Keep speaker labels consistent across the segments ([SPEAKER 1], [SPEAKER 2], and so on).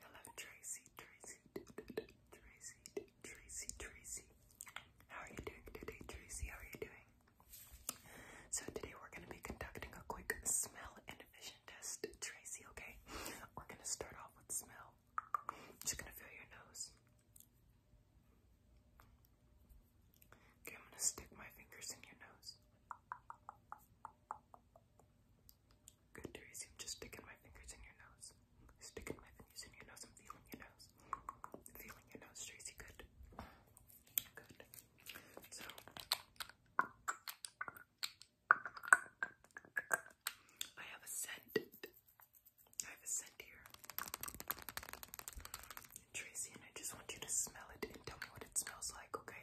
[SPEAKER 1] Hello, Tracy, Tracy, Tracy, Tracy, Tracy. How are you doing today, Tracy? How are you doing? So today we're going to be conducting a quick smell and vision test, Tracy, okay? We're going to start off with smell. I'm just going to feel your nose. Okay, I'm going to stick my fingers in your nose. Good to resume. Just sticking my fingers in your nose. Sticking my fingers in your nose. I'm feeling your nose. Feeling your nose, Tracy. Good. Good. So. I have a scent. I have a scent here. Tracy, and I just want you to smell it and tell me what it smells like, okay?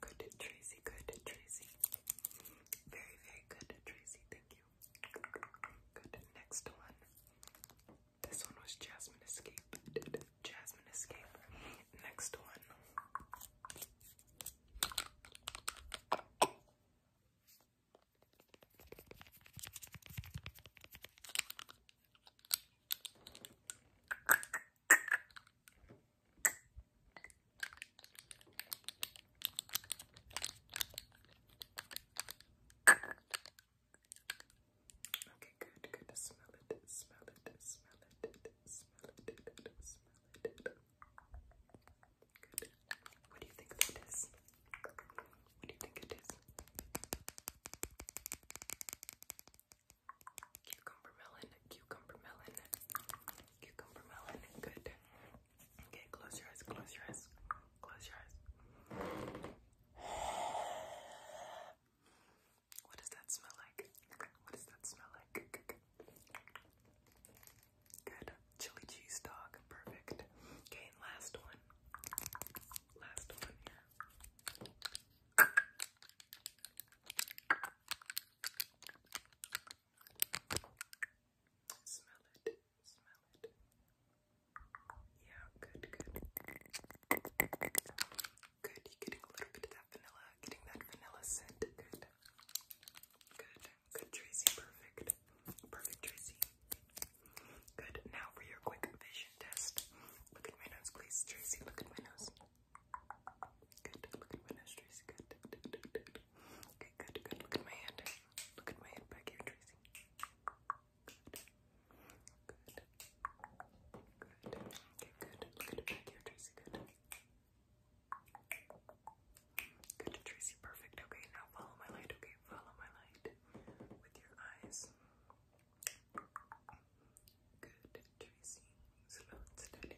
[SPEAKER 1] Good Tracy, good Tracy. Very, very good Tracy, thank you. Good, next one. This one was Jasmine Escape. Jasmine Escape. Next one. Okay, good, good. Smell it, smell it, smell it, smell it, smell it. What do you think that is? What do you think it is? Cucumber melon, cucumber melon, cucumber melon. Good. Okay, close your eyes, close your eyes, close your eyes. What does that smell like? What does that smell like? Good. Chili cheese dog. Perfect. Okay, last one. Last one Smell it. Smell it. Yeah, good, good. Good, you're getting a little bit of vanilla, getting that vanilla scent. Good. Good. Good, Tracy. Perfect. Perfect, Tracy. Good. Now for your quick vision test. Look at my nose, please, Tracy. Look at my nose. Good. Look at my nose, Tracy. Good. Okay, good, good. Look at my hand. Look at my hand back here, Tracy. Good. Good. Good. Okay, good. Look at it back here, Tracy. Good. Good, Tracy. Perfect. Okay, now follow my light. Okay, follow my light with your eyes. Good, Tracy. Slow Good,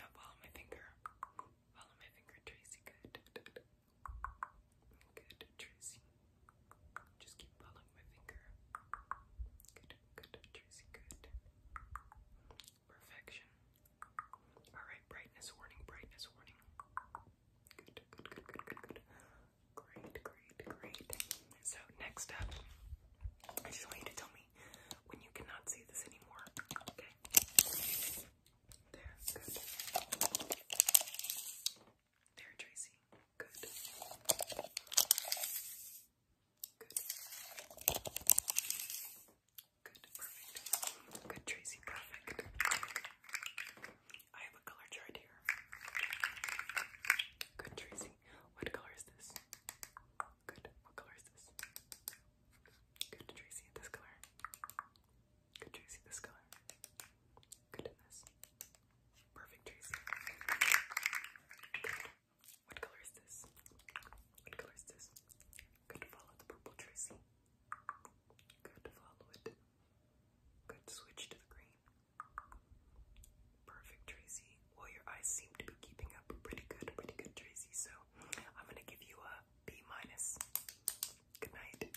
[SPEAKER 1] now follow my finger. Follow my finger, Tracy. Good. Good, Tracy. Just keep following my finger. Good, good, Tracy. Good. Perfection. Alright, brightness warning, brightness warning. Great, great, great. So, next up, I just want you to tell me when you cannot see this anymore. Okay? There, good. There, Tracy. Good. Good. Good, perfect. Good, Tracy, perfect. I have a color chart here. Good, Tracy. What color is this? Good. What color is this? Good, Tracy. This color. Good, Tracy. This color. Good in this. Perfect, Tracy. What color is this? What color is this? Good, follow the purple Tracy. Good, follow it. Good, switch to the green. Perfect, Tracy. Well, your eyes seem to be keeping up pretty good, pretty good, Tracy. So I'm gonna give you a B minus. Good night.